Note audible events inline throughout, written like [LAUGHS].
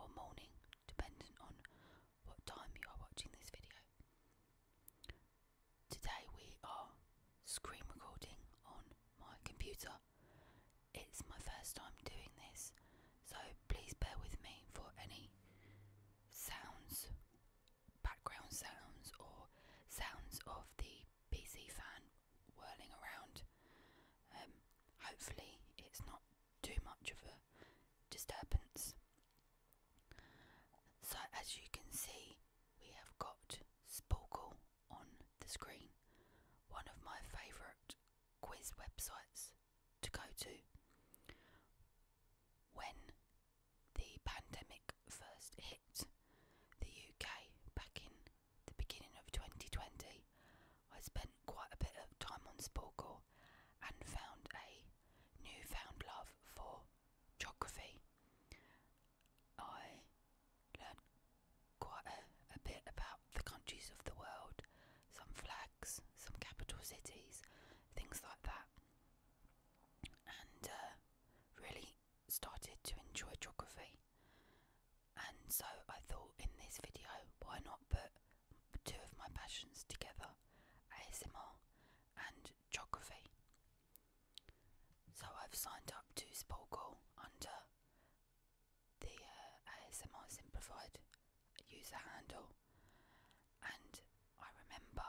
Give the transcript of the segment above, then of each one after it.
or morning, depending on what time you are watching this video. Today we are screen recording on my computer. It's my first time doing this, so please bear with me for any sounds, background sounds, or sounds of the PC fan whirling around. Um, hopefully, it's not too much of a disturbance. So, as you can see, we have got Sporkle on the screen, one of my favourite quiz websites to go to. When the pandemic first hit the UK back in the beginning of 2020, I spent quite a bit of time on Sporkle and found a newfound love for geography. I learned quite a, bit about the countries of the world, some flags, some capital cities, things like that, and uh, really started to enjoy geography. And so I thought in this video, why not put two of my passions together ASMR and geography. So I've signed up to Sporkle under the uh, ASMR Simplified user handle, and I remember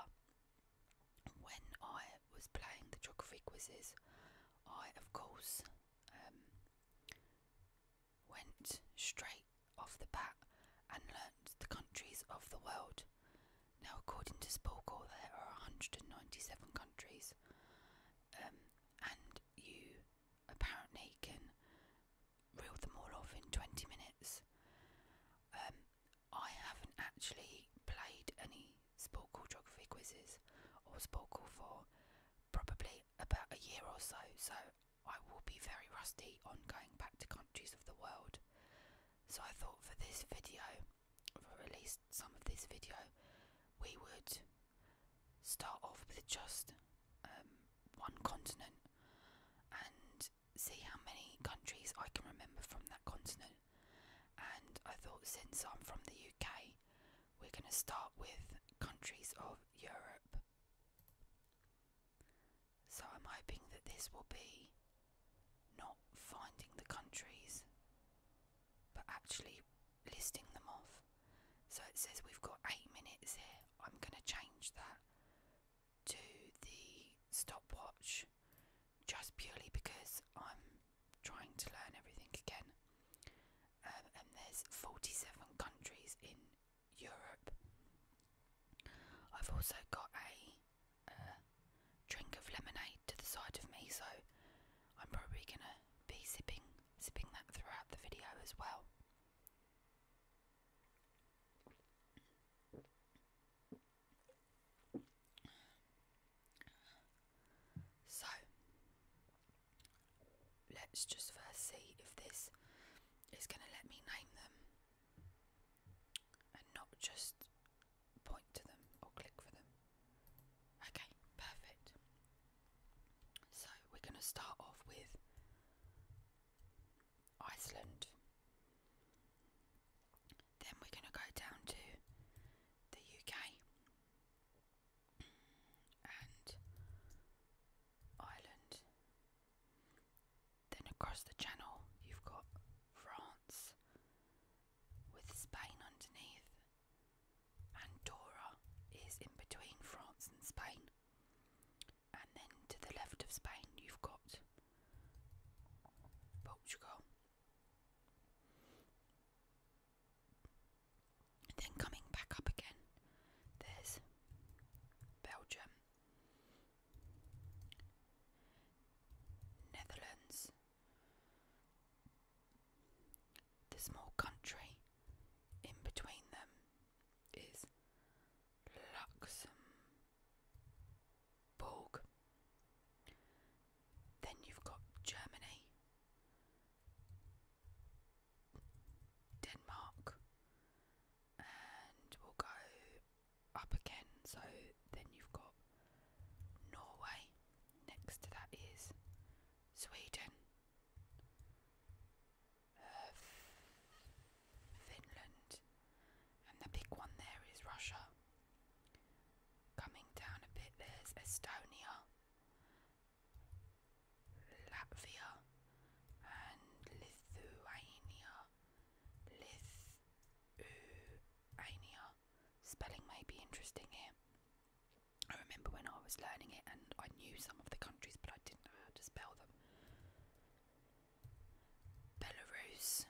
when I was playing the geography quizzes, I of course um, went straight off the bat and learnt the countries of the world. Now, according to Sporkle, there are 197 countries, um, and you apparently can reel them all off in 20 minutes. Um, I haven't actually played any Sporkle geography quizzes or Sporkle for probably about a year or so, so I will be very rusty on going back to countries of the world. So I thought for this video, or at least some of this video, we would start off with just um, one continent and see how many countries I can remember from that continent. And I thought since I'm from the UK, we're going to start with countries of Europe. So I'm hoping that this will be not finding the countries but actually listing them off. So it says we've got eight minutes here. I'm going to change that to the stopwatch just purely because I'm trying to learn everything again. Um, and there's 47 countries in Europe. I've also got a uh, drink of lemonade to the side of me, so I'm probably gonna be sipping sipping that throughout the video as well. So, let's just first see if this is going to let me name them and not just point to them or click for them. Okay, perfect. So we're going to start off with Iceland. Then we're going to go down to the UK and Ireland. Then across the channel, you've got France with Spain underneath. Andorra is in between France and Spain. And then to the left of Spain, you've got Portugal. Then coming back up again, there's Belgium, Netherlands, the small country in between them is Luxembourg. Then you've got Germany, Denmark, and we'll go up again. So then you've got Norway, next to that is Sweden, uh, Finland, and the big one there is Russia. Coming down a bit, there's Estonia, Latvia, and Lithuania. Lithuania. Spelling may be interesting here. I remember when I was learning it and I knew some of the countries, but I didn't know how to spell them. Belarus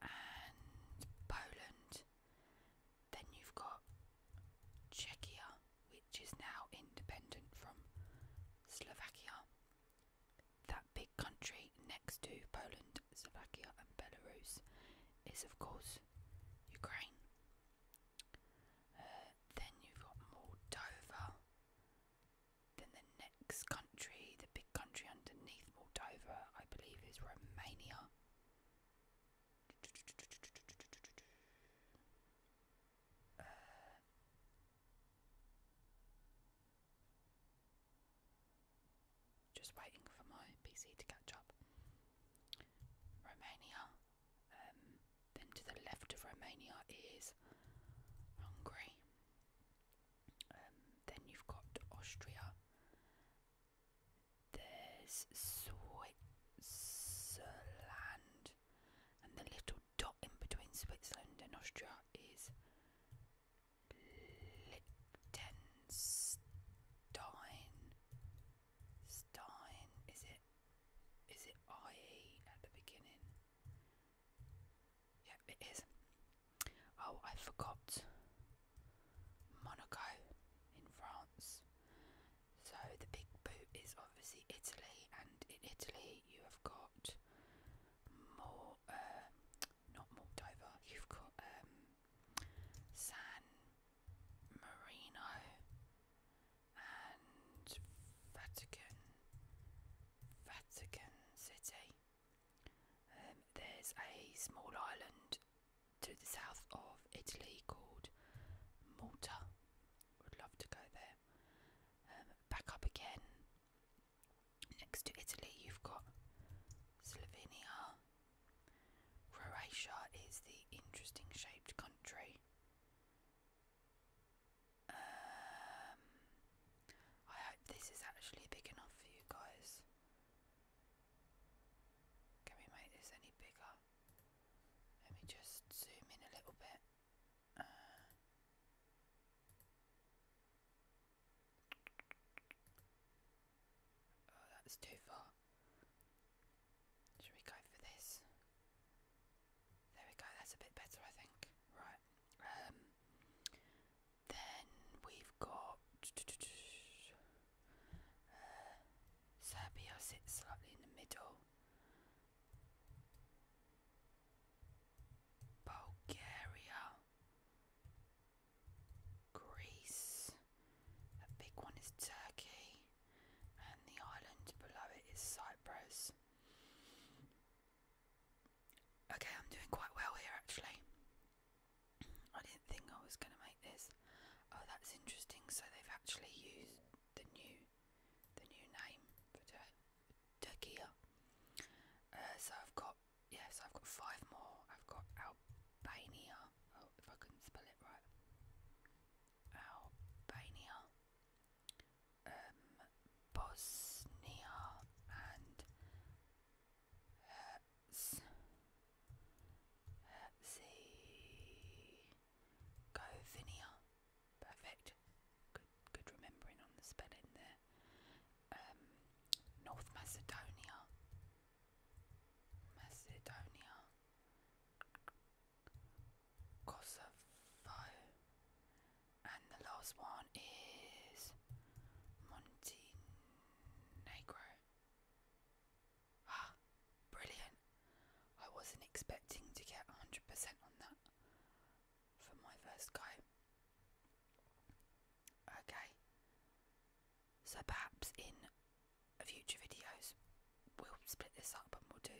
and Poland. Then you've got Czechia, which is now independent from Slovakia. That big country next to Poland, Slovakia, and Belarus is, of course, Ukraine. Uh, then you've got Moldova. Then the next country, the big country underneath Moldova, I believe, is Romania. Just waiting for my PC to catch up. Romania. Um, then to the left of Romania is Hungary. Um, then you've got Austria. There's Switzerland and the little dot in between Switzerland and Austria is Liechtenstein. Stein, is it? Is it I at the beginning? Yep, it is. Oh, I forgot Monaco in France. So the big boot is obviously Italy, and in Italy you have got more, uh, not Moldova. You've got um, San Marino and Vatican, Vatican City. Um, there's a small island to the south of Italy called Malta, would love to go there. Um, back up again. Next to Italy, you've got Slovenia. Croatia is the interesting shaped country. Um, I hope this is actually big enough for you guys. Can we make this any bigger? Let me just zoom in a little bit. Uh, oh, that's too far. Should we go for this? There we go, that's a bit better, I think. Right. Um, then we've got. Uh, Serbia sits slightly in the middle. Bulgaria, Greece. A big one is Turkey, and the island below it is Cyprus. Okay, I'm doing quite well here actually. I didn't think I was going to make this. Oh, that's interesting. So they've actually used the new the new name for uh, so I've got yes, I've got five more. I've got Albania. Oh, if I can spell it right. Albania, um, Bosnia, and Herzegovina. Uh, Go Vinia. Perfect. Good good remembering on the spelling there. Um, North Macedonia. Macedonia. Kosovo. And the last one is Montenegro. Ah, [GASPS] brilliant. I wasn't expecting to get 100% on that for my first go. Okay, so perhaps in future videos we'll split this up and we'll do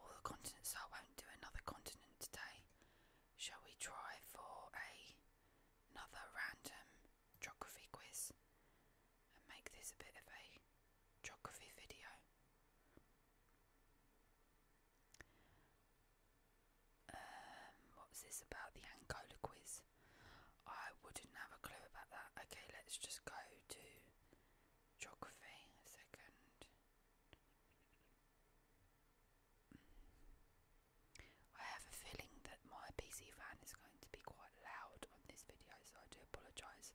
all the continents. I won't do another continent today. Shall we try for a, another random geography quiz and make this a bit of a geography video. Um, what's this about the Angola quiz? I wouldn't have a clue about that. Okay, let's just go to geography second. I have a feeling that my PC fan is going to be quite loud on this video, so I do apologise.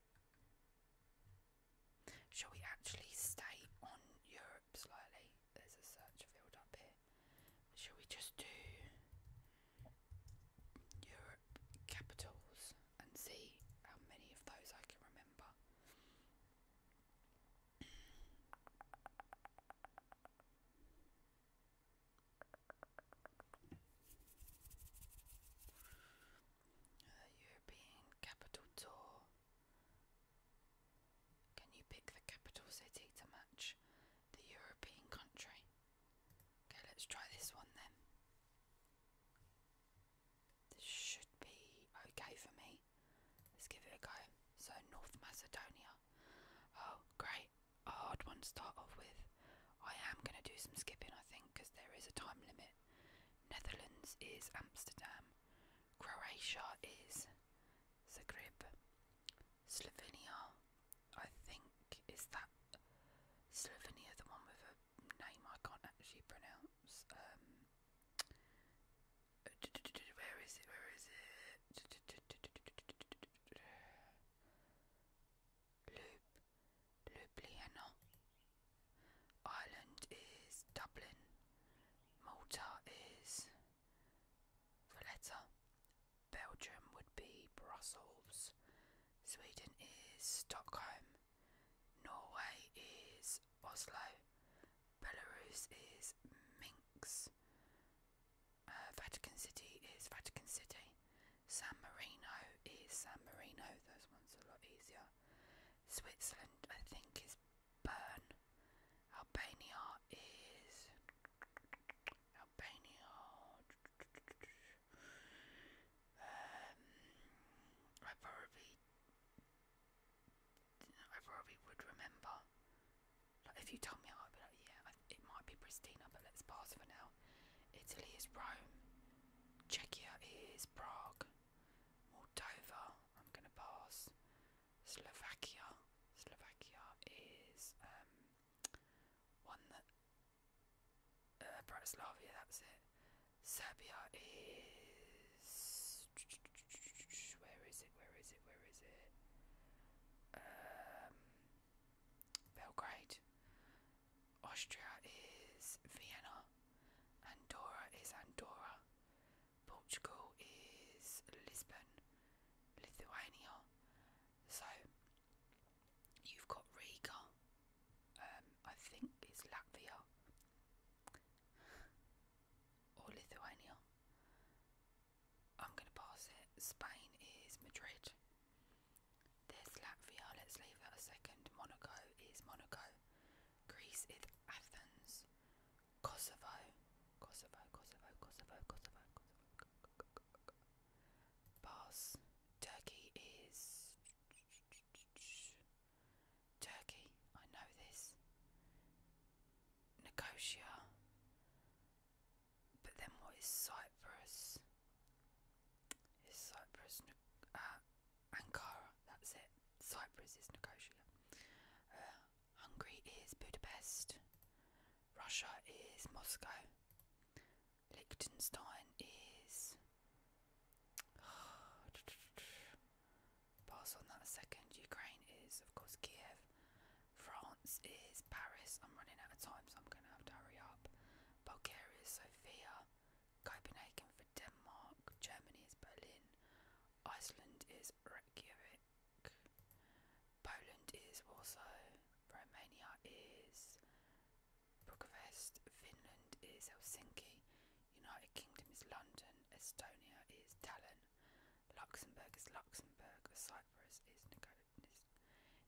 Shall we actually stay on Europe slightly? There's a search field up here. Shall we just do Europe capitals and see how many of those I can remember? Uh, European Capital Tour. Can you pick the capital city to match the European country? Okay, let's try this one then. This should be okay for me. Let's give it a go. So, North Macedonia. Oh, great. A hard one to start off with. I am going to do some skipping, I think, because there is a time limit. Netherlands is Amsterdam. Croatia is Zagreb. Slovenia, I think, is that Slovenia, the one with a name I can't actually pronounce. Um, uh, where is it? Where is it? Loop, Ljubljana. Ireland is Dublin. Malta is Valletta. Belgium would be Brussels. Sweden is Stockholm. Norway is Oslo. Belarus is Minsk. Uh, Vatican City is Vatican City. San Marino is San Marino. Those ones are a lot easier. Switzerland, I think, is Bern. Albania is Albania. Um, I probably, I probably would remember. Like if you told me, I'd be like, yeah, it might be Pristina, but let's pass for now. Italy is Rome, Czechia is Prague, Moldova, I'm going to pass, Slovakia, Slovakia is um, one that, uh, Bratislava, that's it, Serbia is, where is it, where is it, where is it, um, Belgrade, Austria is Vienna, Andorra is Andorra, Portugal is Lisbon, Lithuania. So you've got Riga, um, I think it's Latvia or Lithuania. I'm going to pass it. Spain is Madrid. There's Latvia, let's leave that a second. Monaco is Monaco. Greece is Athens. Kosovo. Kosovo, Kosovo, Kosovo, Kosovo, Kosovo. Pass. Turkey is. Turkey, I know this. Nicosia. But then what is Cyprus? Cyprus, uh, Ankara, that's it. Cyprus is Nicosia. Uh, Hungary is Budapest. Russia is Moscow. Liechtenstein is. [SIGHS] Pass on that a second. Ukraine is, of course, Kiev. France is Paris. I'm running out of time, so I'm going to have to hurry up. Bulgaria is Sofia, Copenhagen for Denmark, Germany is Berlin, Iceland is Reykjavik, Poland is Warsaw, Romania is Bucharest, Finland is Helsinki, United Kingdom is London, Estonia is Tallinn, Luxembourg is Luxembourg, Cyprus is Nicosia.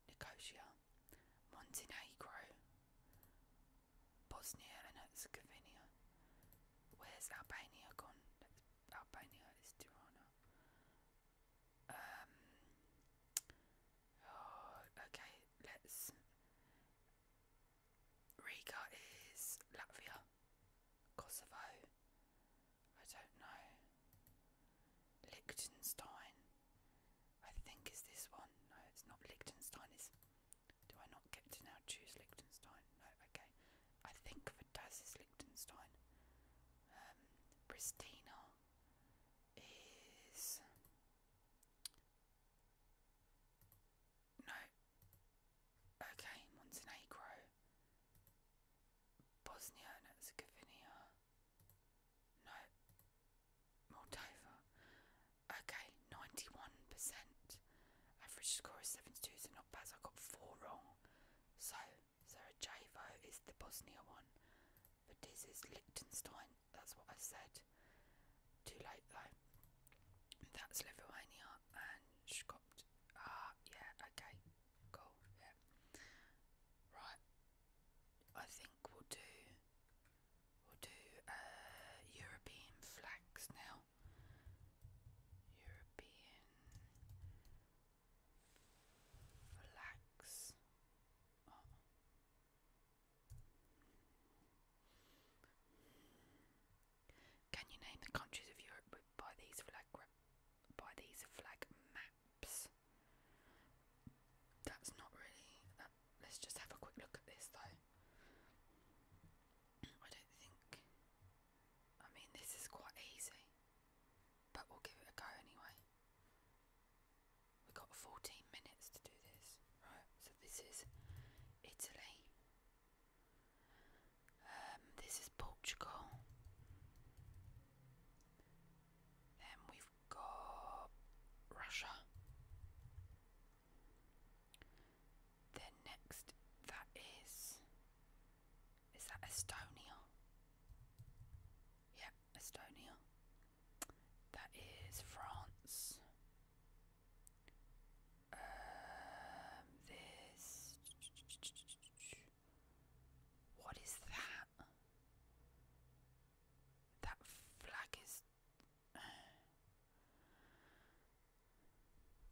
Nicosia, Montenegro, Bosnia and Herzegovina. Where's Albania gone? Albania is Tirana. Um. Oh, okay, let's. Riga is Latvia, Kosovo. I don't know. Liechtenstein. I think it's this one. No, it's not Liechtenstein. Is do I not get to now choose Liechtenstein? No, okay. I think Verdaz is Liechtenstein. Um, Pristina is no. Okay, Montenegro, Bosnia and Herzegovina. No. Moldova. Okay, 91%. Average score is 72, so not bad. So I got four wrong. So, Sarajevo is the Bosnia one. But this is Liechtenstein. That's what I said. Too late though. That's Lithuania and Scotland. Ah, yeah, okay. Cool, yeah. Right, I think we'll do we'll do uh, European flags now. European flags. Oh. Can you name the countries of Europe by these flag by these flag maps? That's not really. let's just have a quick look at this though. I don't think. I mean, this is quite easy, but we'll give it a go anyway. We've got 14 minutes to do this. Right, so this is Italy. Um, this is Portugal. Then we we Russia. Then next, that is. Is that Estonia? Yeah, Estonia. That is France. Um, this. What is that? That flag is. [SIGHS]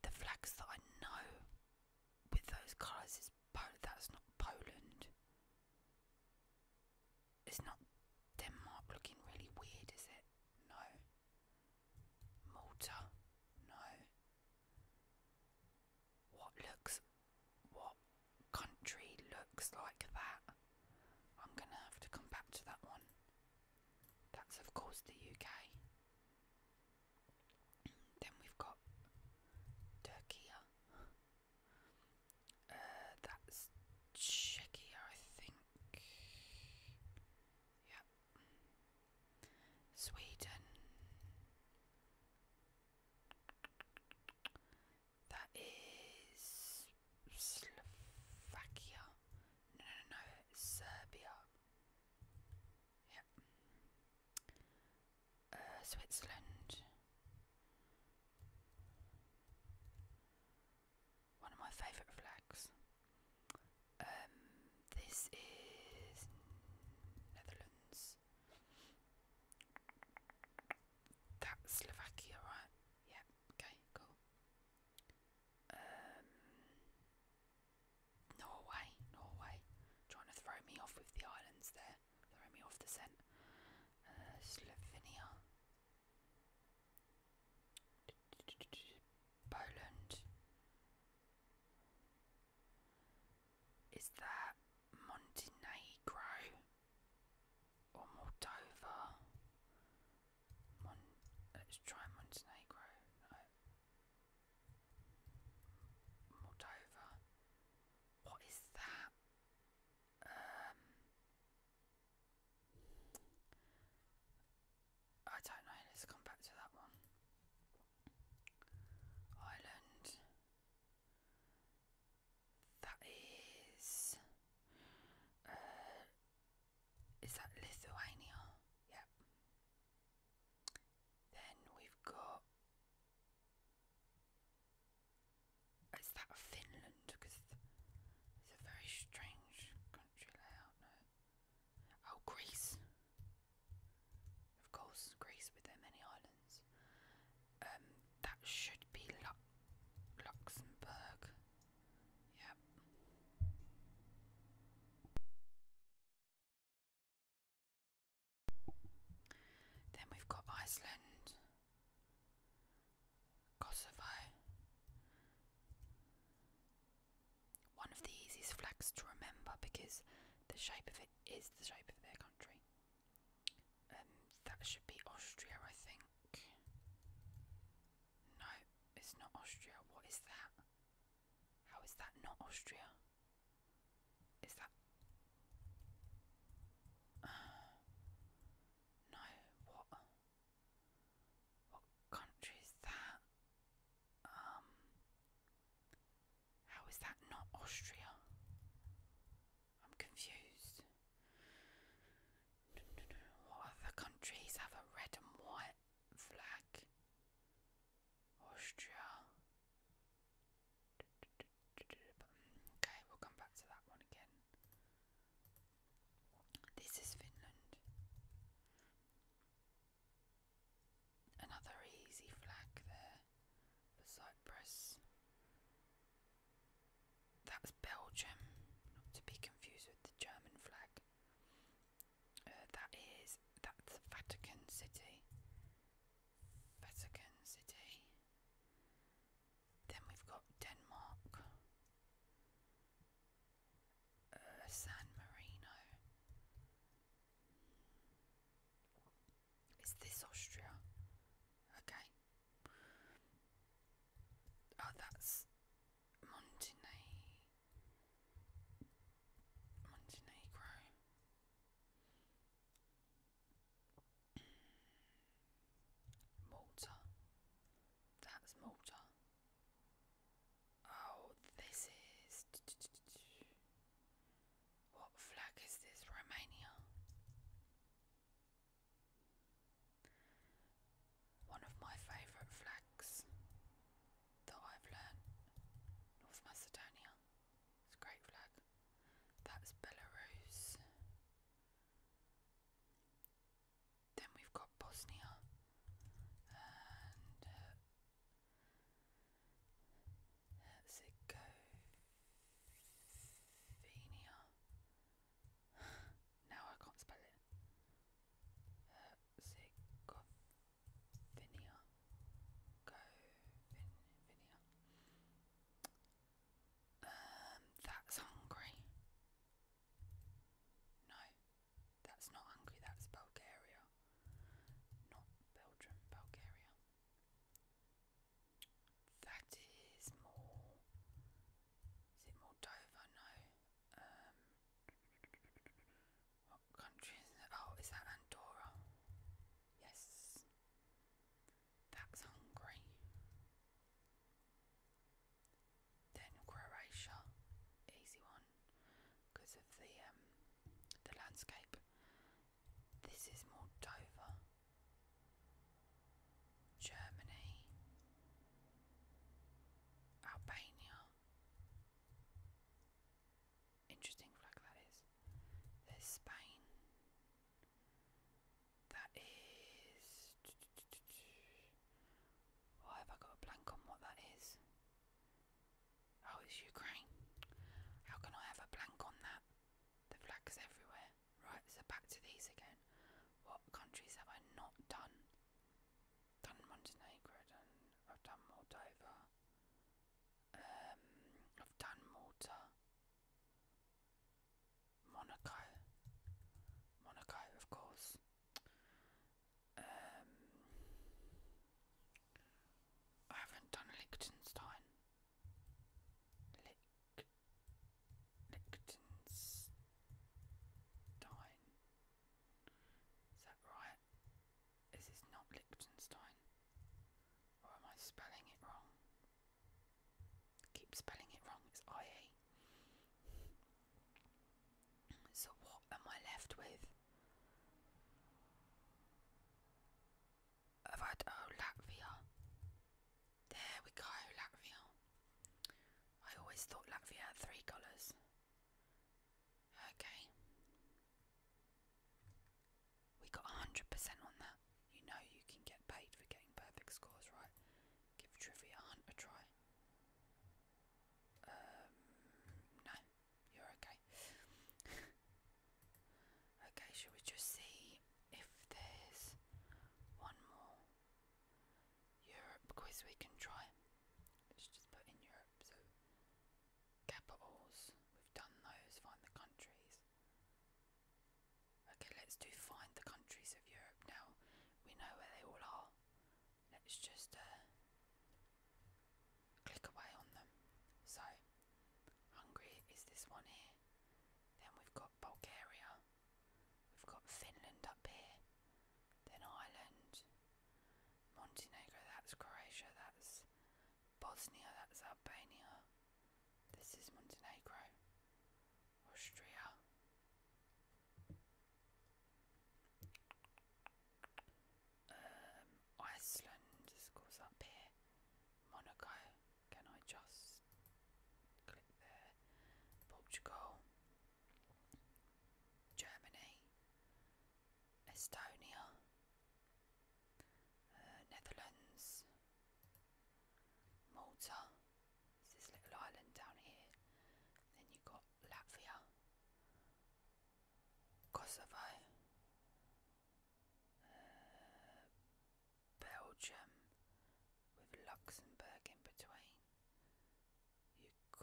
The flags that I know with those colours is Poland. That's not Poland. It's not Denmark looking really weird, is it? No. Malta? No. What looks what country looks like that? I'm gonna have to come back to that one. That's, of course, the UK. then we've got Turkey. Uh, that's Czechia, I think. Yep. Sweden. That is Slovakia. No, no, no, Serbia. Yep. Uh, Switzerland. One of my favourite flags. Um, this is Netherlands. That's Slovakia, right? Yeah, okay, cool. Um, Norway, Norway. Trying to throw me off with the islands there. throwing me off the scent. Uh, Slovenia. Poland. Is that Montenegro? Moldova. let's try Montenegro. Moldova. What is that? Um, I don't know, let's come back to that one. Ireland that is. Uh, is that Lithuania? Yep. Then we've got. Is that Finland? Because it's a very strange country layout. Oh, Greece. Of course, Greece with their many islands. Um, that should be Lu Luxembourg. Yep. Then we've got Iceland, Kosovo. One of the easiest flags to remember because the shape of it is the shape of their country. Um, that should be Austria, I think. No, it's not Austria. What is that? How is that not Austria? Is that. [SIGHS] no, what? What country is that? Um. How is that not Austria? I'm confused. What other countries have a red and white flag? Austria. Okay, we'll come back to that one again. This is Finland. Another easy flag there for Cyprus. That's Belgium, not to be confused with the German flag. Uh, that is that's Vatican City. Vatican City. Then we've got Denmark. Uh, San Marino. Is this Austria? Okay. Oh, that's Montenegro. Malta. That's Malta. Oh, this is. What flag is this? Romania. One of my favourite flags that I've learnt, North Macedonia. It's a great flag. That's Belarus. Then we've got Bosnia and Herzegovina. Uh, Venia. [SIGHS] now I can't spell it. Herzegovina. Uh, Govinia. Um, that's Hungary. No, that's not Hungary, that's Bulgaria. Not Belgium, Bulgaria. That is more. Is it more Dover? No. Um, what country is it? Oh, is that Andorra? Yes. That's Hungary. Then Croatia, easy one, because of the um, the landscape. This is more Moldova, Germany, Albania. Interesting flag that is. There's Spain. That is. Why have I got a blank on what that is? Oh, it's Ukraine. How can I have a blank on that? The flag's everywhere right, so back to these again. What countries have I not done? Done Montenegro, done, I've done Moldova, um, I've done Malta, Monaco, Monaco, of course. Um, I haven't done Liechtenstein. Liechtenstein. Is that right? Is this not Liechtenstein? Or am I spelling it wrong? Keep spelling it wrong, it's IE. So, what am I left with? have I oh Latvia. There we go, Latvia. I always thought Latvia had three colours. Okay. We got 100% on that. You know you can get paid for getting perfect scores, right? Give Trivia Hunt a try. Um, no, you're okay. [LAUGHS] Okay, shall we just see if there's one more Europe quiz we can try? Let's just put in Europe. So, capitals, we've done those, find the countries. Okay, let's do find the countries of Europe now. We know where they all are. Let's just uh, click away on them. So, Hungary is this one here. Then we've got Bulgaria. We've got Finland up here. Then Ireland. Montenegro, that's Croatia, that's Bosnia, that's Albania. This is Montenegro. Austria. Um, Iceland is, goes up here. Monaco. Can I just click there? Portugal, Germany, Estonia, uh, Netherlands, Malta. this little island down here. Then you've got Latvia, Kosovo, uh, Belgium with Luxembourg in between. Uk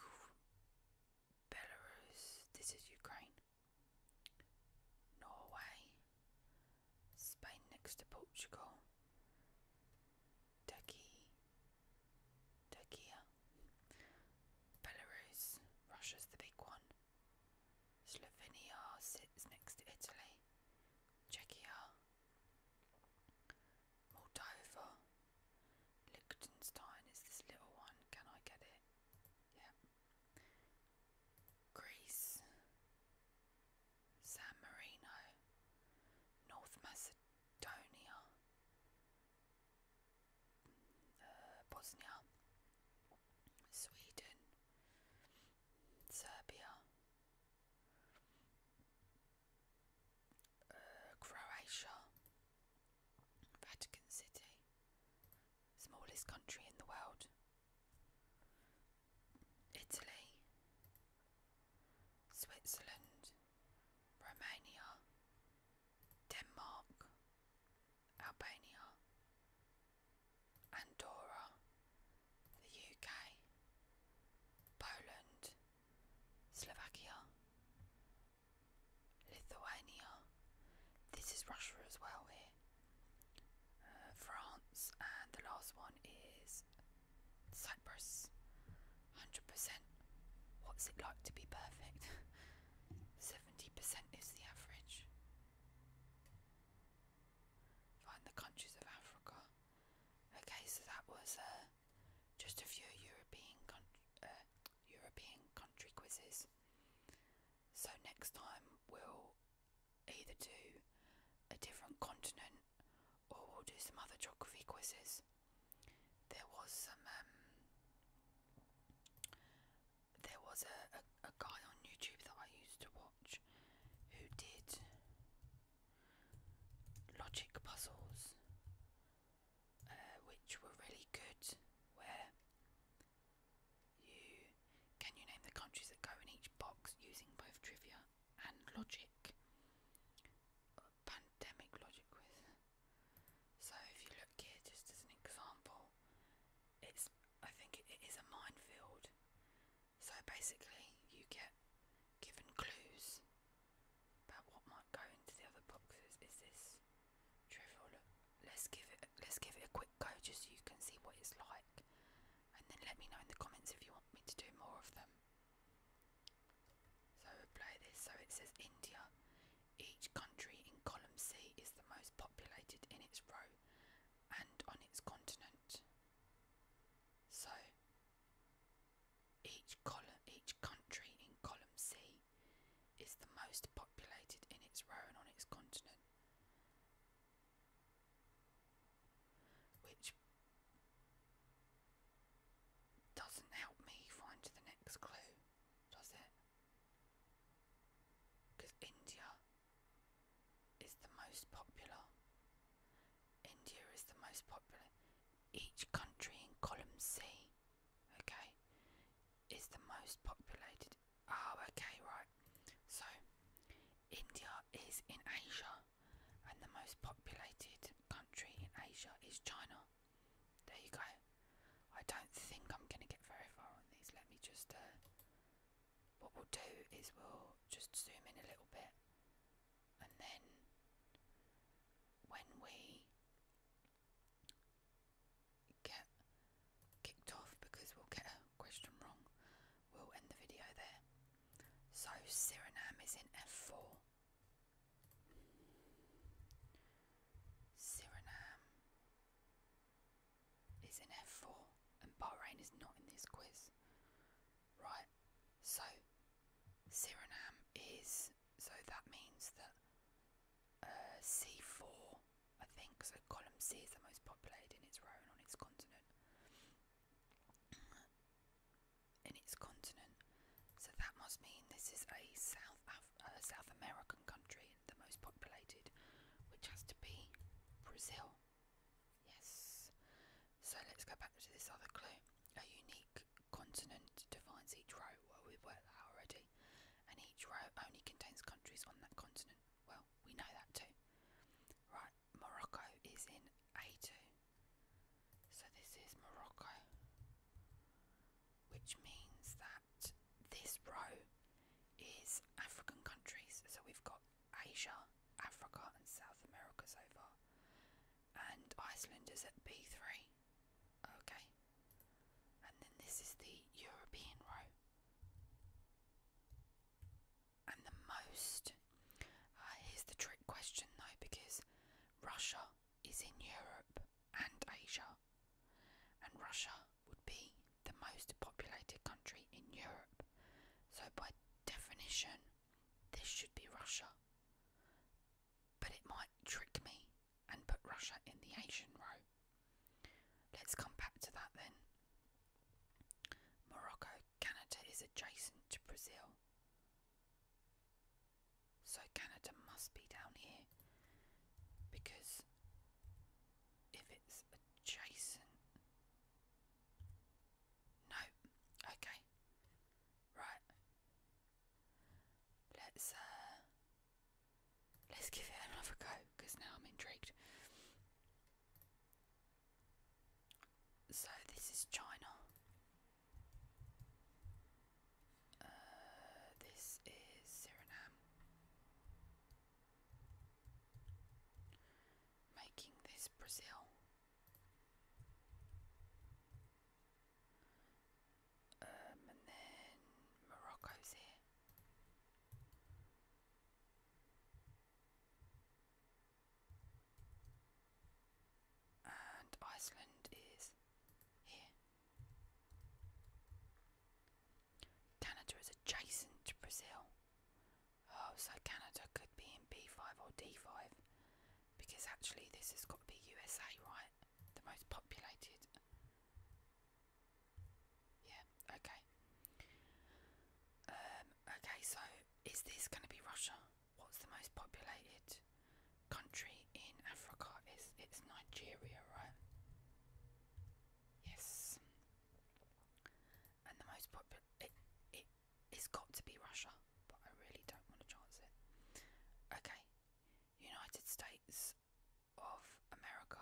Belarus, this is Ukraine. Norway, Spain next to Portugal, Turkey, Turkey, Belarus, Russia's the big one. Slovenia sits next to Italy. Czechia, Moldova, Liechtenstein is this little one. Can I get it? Yeah. Greece, San Marino, North Macedonia, uh, Bosnia, Sweden, Serbia, uh, Croatia, Vatican City, smallest country in the world, Italy, Switzerland, Romania, Denmark, Albania, Andorra, the UK, Poland, Slovakia, Lithuania. This is Russia as well here. Uh, France, and the last one is Cyprus. 100%. What's it like to be perfect? 70% [LAUGHS] is the average. Find the countries of Africa. Okay, so that was uh, just a few European country, uh, European country quizzes. So next time we'll either do a different continent or we'll do some other geography quizzes. There was some um, there was a a guy on YouTube that I used to watch who did logic puzzles, uh, which were really good. Where you can you name the countries that go in each box using both trivia and logic? Pandemic logic quiz. So if you look here, just as an example, it's I think it is a minefield, so basically, you get given clues about what might go into the other boxes. Is this trivial? Let's give it. Let's give it a quick go, just so you can see what it's like, and then let me know in the comments if you want me to do more of them. So we play this. So it says India. Each country in column C is the most populated in its row and on its continent. So each column, each country in column C is the most populated in its row and on its continent, which doesn't help me find the next clue, does it? Because India is the most popular. India is the most popular. Each country in column C, okay, is the most populated. Oh, okay, right. So, India is in Asia, and the most populated country in Asia is China. There you go. I don't think I'm going to get very far on these. Let me just uh, what we'll do is we'll just zoom in a little bit and then when we get kicked off because we'll get a question wrong we'll end the video there so Suriname is in F4 Suriname is in F4 and Bahrain is not in this quiz. Right, so Suriname is, so that means that uh, C4, I think, so column C is the most populated in its row and on its continent. in its continent, so that must mean this is a South, uh, South American country, and the most populated, which has to be Brazil. Yes. So let's go back to this other clue. A unique continent defines each row. Well, we worked that already. And each row only contains countries on that continent. Well, we know that too. Right, Morocco is in A2. So this is Morocco. Which means that this row is African countries. So we've got Asia, Africa, and South America so far. And Iceland is at B3. Okay. And then this is the European row. And the most. Uh, here's the trick question though, because Russia is in Europe and Asia. And Russia would be the most populated country in Europe, so by definition, this should be Russia. But it might trick me and put Russia in the Asian row. Let's come back to that then. Morocco, Canada is adjacent to Brazil. So Canada must be down here because if it's adjacent no. Okay. Right. Let's uh, let's give it another go because now I'm intrigued. So this is China. Uh, this is Suriname making this Brazil. Um, and then Morocco's here. And Iceland is here. Canada is adjacent to Brazil. Oh, so Canada could be in B5 or D5 because actually this has got to be USA, right? The most populated. Yeah, okay. Um, okay, so is this going to be Russia? What's the most populated country in Africa? It's, it's Nigeria, right? Yes and the most popular it it has got to be Russia, but I really don't want to chance it. Okay, United States of America.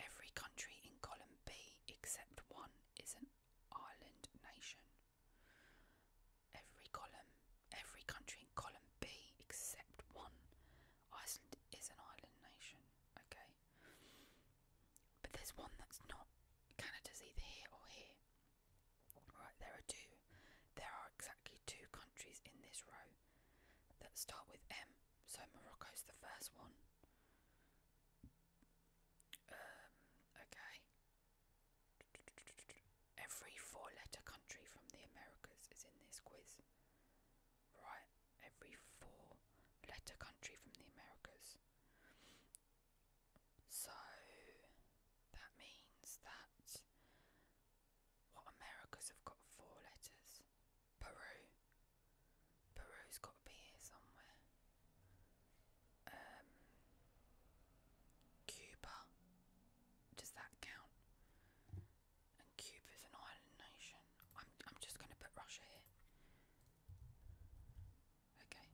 Every country in column B except one is an island nation. Every column, every country in column B except one. Iceland is an island nation. Okay. But there's one that's not. Canada's either here or here. Right, there are two. There are exactly two countries in this row that start with M, so Morocco's the first one. Um, okay. Every four letter country from the Americas is in this quiz. Right, every four letter country from the Americas. So that means that what America's have got four letters. Peru. Peru's got to be here somewhere. Um, Cuba. Does that count? And Cuba's an island nation. I'm, I'm just going to put Russia here. Okay.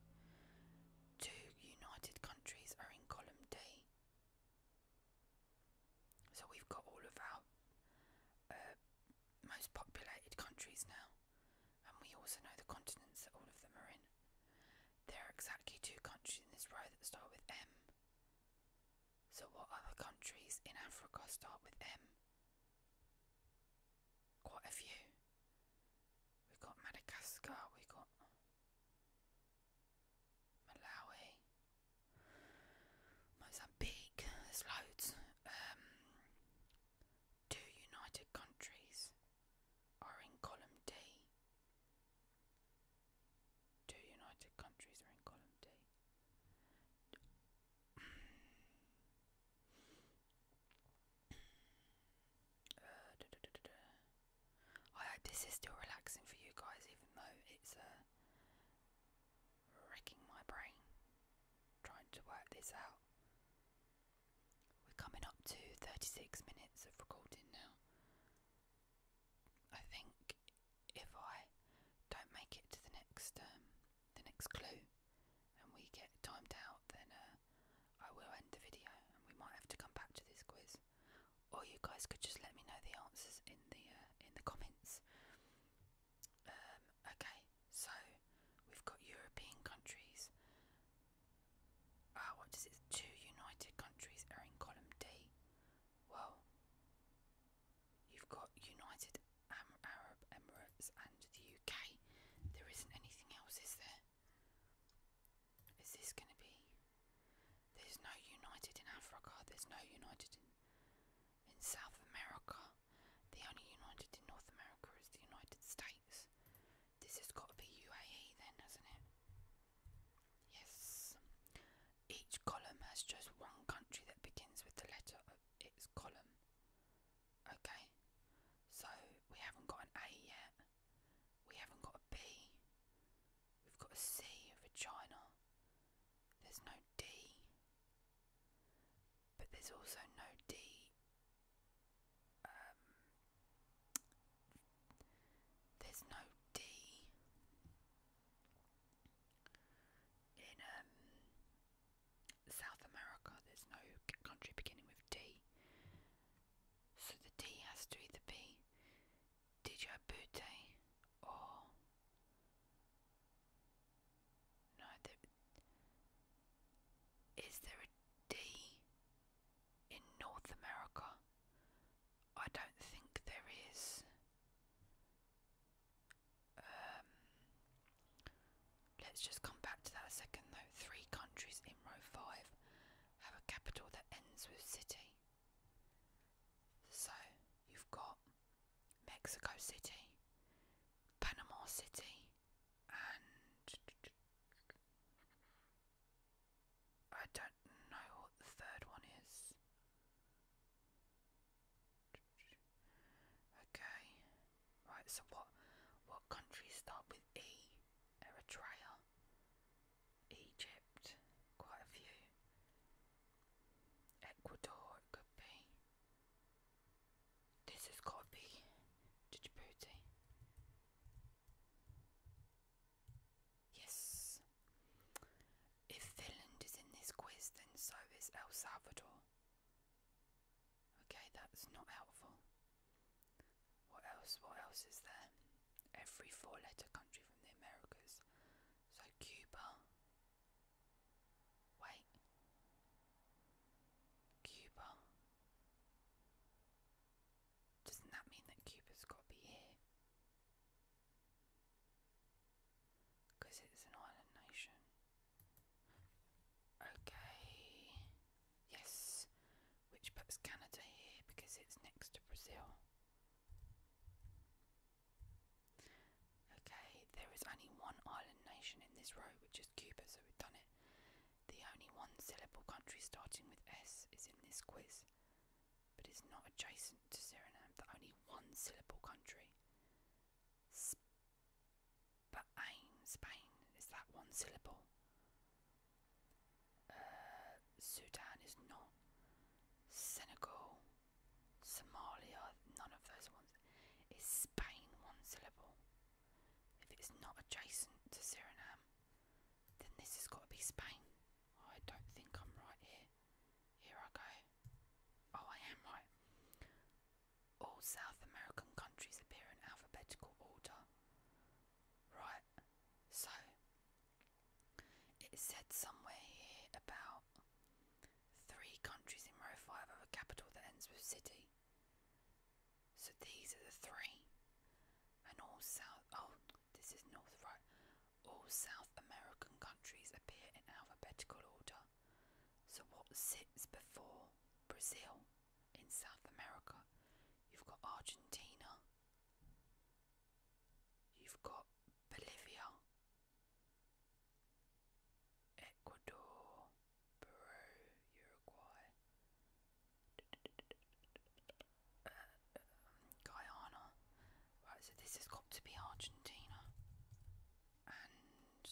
Two united countries are in column D. So we've got all of our uh, most populated countries now, and we also know the continents that all of them are in. There are exactly two countries in this row that start with M. So, what other countries in Africa start with M? Quite a few. We've got Madagascar, we've got Malawi, Mozambique, there's loads. Um, two United Countries are in column D. Two United Countries are in column D. Uh, I hope this is still relaxing for you guys, even though it's uh, wrecking my brain trying to work this out. We're coming up to 36 minutes of recording now. I think if I don't make it to the next um, the next clue and we get timed out, then uh, I will end the video and we might have to come back to this quiz. Or you guys could just let me know the answers in the uh, in the comments. Um, okay, so we've got European countries. Ah, what does it? Two United countries are in column D. Well, you've got United Arab Emirates and the UK. There isn't anything else, is there? Is this going to be? There's no United in Africa. There's no United in, in South America. The only United in North America is the United States. This has got to be UAE then, hasn't it? Yes. Each column has just one country that begins with the letter of its column. Okay, so we haven't got an A yet, we haven't got a B, we've got a C vagina, there's no D, but there's also no D. Um, there's no D in um South America, there's no country beginning with D. So the D has to be either be Djibouti or. No, there, is there a D in North America? I don't think there is. Um, let's just come back to that a second though. Three countries in row five have a capital that ends with city. So you've got Mexico City, Panama City, and I don't know what the third one is. Okay. Right, so what what countries start with E? Eritrea. Egypt. Quite a few. Ecuador could be. This has got to be Djibouti. Yes. If Finland is in this quiz, then so is El Salvador. Okay, that's not helpful. What else? What else is there? Every four letter country from the Americas. So Cuba. Wait. Cuba. Doesn't that mean that Cuba's got to be here? Because it's an island nation. Okay. Yes. Which puts Canada here because it's next to Brazil. Okay, there is only one island nation in this row, which is Cuba, so we've done it. The only one syllable country starting with S is in this quiz, but it's not adjacent to Suriname, the only one syllable country. But ein, Spain is that one syllable. Uh, Sudan is not. Senegal, Somalia, none of those ones. Is Spain one syllable? If it's not adjacent to Suriname, then this has got to be Spain. I don't think I'm right here. Here I go. Oh, I am right. All South American countries appear in alphabetical order. Right, so it said somewhere here about three countries in row five of a capital that ends with city. So these are the three. And all South oh, this is North right. All South American countries appear in alphabetical order. So, what sits before Brazil in South America? You've got Argentina, you've got Bolivia, Ecuador, Peru, Uruguay, uh, Guyana. Right, so this has got to be Argentina. And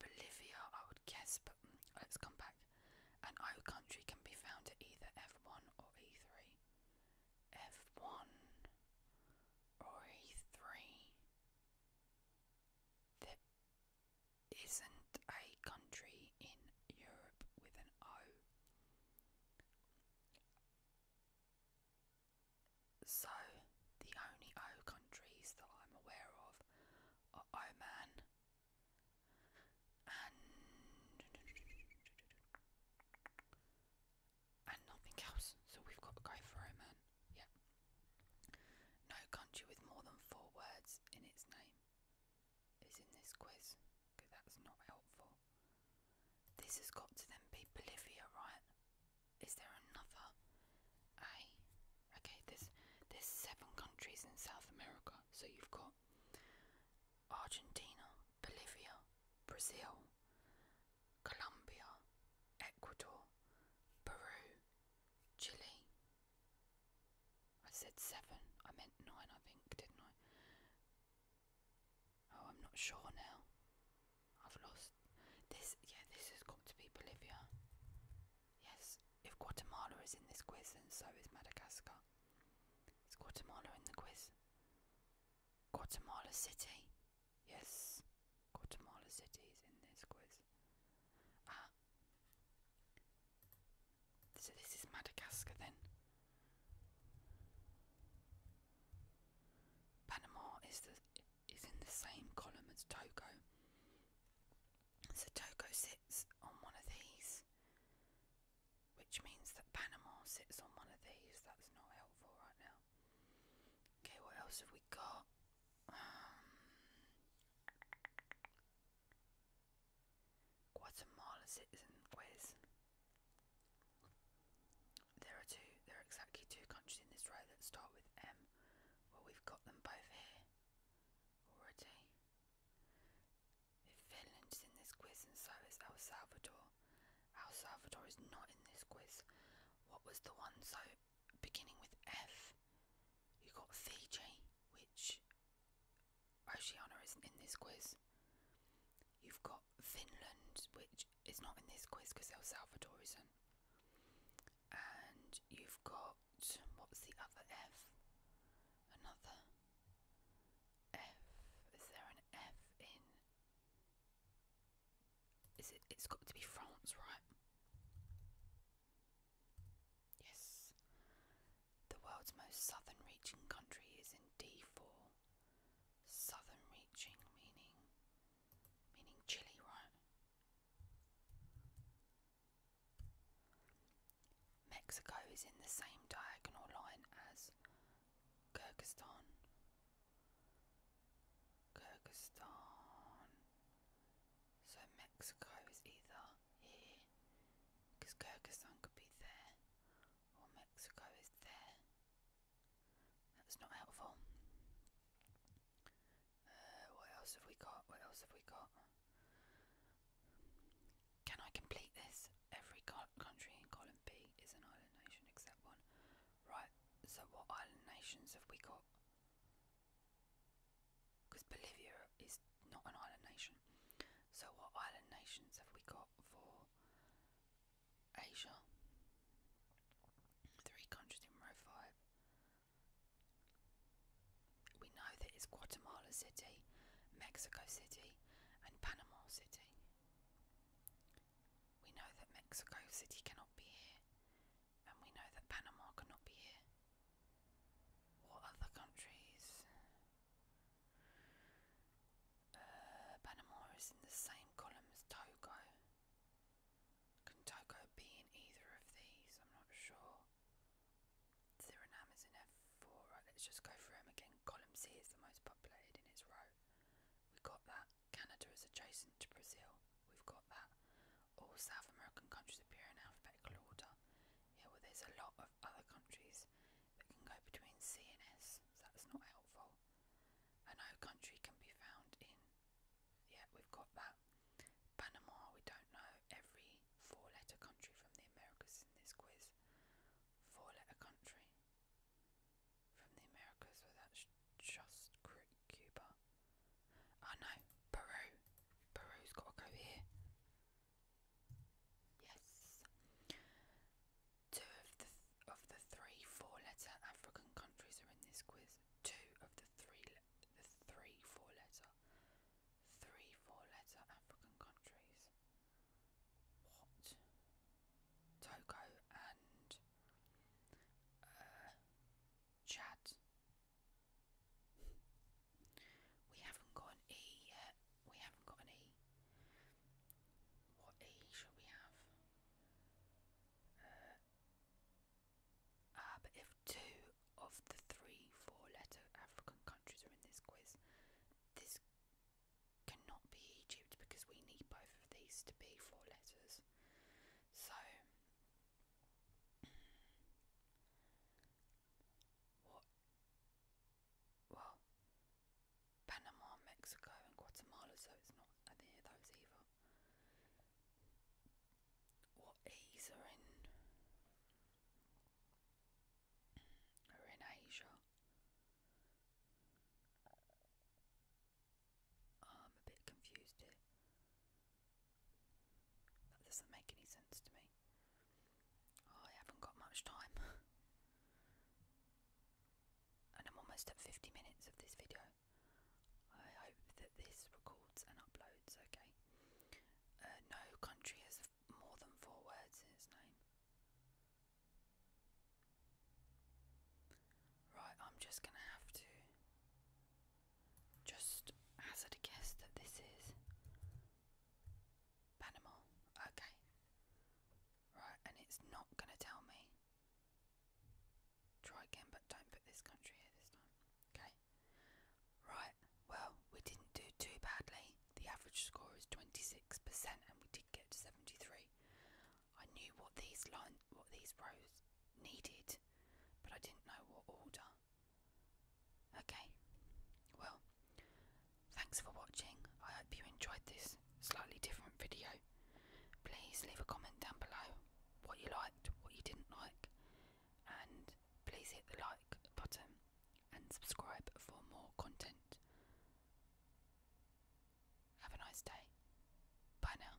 Bolivia, I would guess, but mm, let's come back. An O country can be found at either F1 or E3. F1 or E3. There isn't a country in Europe with an O. So, the only O countries that I'm aware of are Oman and and nothing else. So we've got to go for Oman. Yeah. No country with more than four words in its name is in this quiz. Because that's not helpful. This has got to then be Bolivia, right? Is there another? A. Okay, there's there's seven countries in South America. So you've got Argentina, Bolivia, Brazil, Colombia, Ecuador, Peru, Chile. I said seven. I meant nine, I think, didn't I? Oh, I'm not sure now. I've lost. This, yeah, this has got to be Bolivia. Yes, if Guatemala is in this quiz, then so is Madagascar. Is Guatemala in the quiz? Guatemala City? Yes, Guatemala City is in this quiz. Ah. So this is Madagascar then. Panama is the is in the same column as Togo. So Togo sits on one of these, which means that Panama sits on one of these. That's not helpful right now. Okay, what else have we got? Um, Guatemala citizen quiz. There are two. There are exactly two countries in this row that start with M. Well, we've got them both here already. If Finland is in this quiz, and so is El Salvador. El Salvador is not in this quiz. What was the one so beginning with F? You got Fiji, which Oceania isn't in this quiz. You've got Finland, which is not in this quiz because El Salvador isn't. And you've got what's the other F? Another F. Is there an F in? Is it? It's got to be France, right? Yes. The world's most southern-reaching country is in D4. Southern reaching meaning meaning chilly, right? Mexico is in the same diagonal line as Kyrgyzstan. Kyrgyzstan. So Mexico is either here, because Kyrgyzstan could be there, or Mexico is there. That's not helpful. Uh, what else have we got? What else have we got? Can I complete this? Every country in column B is an island nation except one. Right, so what island nations have we got? Because Bolivia is not an island nation. So what island nations have we got for Asia. Three countries in row five. We know that it's Guatemala City, Mexico City, and Panama City. We know that Mexico City cannot be here, and we know that Panama cannot be here. What other countries? Uh, Panama is in the same column as Togo. Can Togo be in either of these? I'm not sure. Suriname is in F4. Right, let's just go through them again. Column C is the most populated in its row. We have got that. Canada is adjacent to Brazil. We've got that. All South American countries appear in alphabetical order. Yeah, well, there's a lot of other countries that can go between C and S, so that's not helpful. I know country can be found in. Yeah, we've got that. Panama, we don't know. Every four letter country from the Americas in this quiz. Four letter country from the Americas, well, that's just Cuba. Oh no, Peru. Peru's got to go here. Yes. Two of the of the three four-letter African countries are in this quiz. Two of the three the three four-letter three four-letter African countries. What? Togo and uh, Chad. We haven't got an E yet. We haven't got an E. What E should we have? ah, but if two of the three four-letter African countries are in this quiz, this cannot be Egypt because we need both of these to be four letters. So, what? Well, Panama, Mexico, and Guatemala, so it's not at those either. What E's are in are in Asia? I'm a bit confused here. doesn't make any sense to me. I haven't got much time. [LAUGHS] and I'm almost at 50 minutes of this video. I hope that this records and uploads okay. Uh, no country has more than four words in its name. Right, I'm just gonna have to just hazard a guess that this is Panama. Okay. Right, and it's not gonna tell me. Try again, but don't put this country here this time. Okay. Right, well, we didn't do too badly. The average score is 26%, and we did get to 73. I knew what these line, what these rows needed, but I didn't know what order. Okay, well, thanks for watching. I hope you enjoyed this slightly different video. Please leave a comment down below what you liked, what you didn't like, and please hit the like button and subscribe for more content. Have a nice day. Bye now.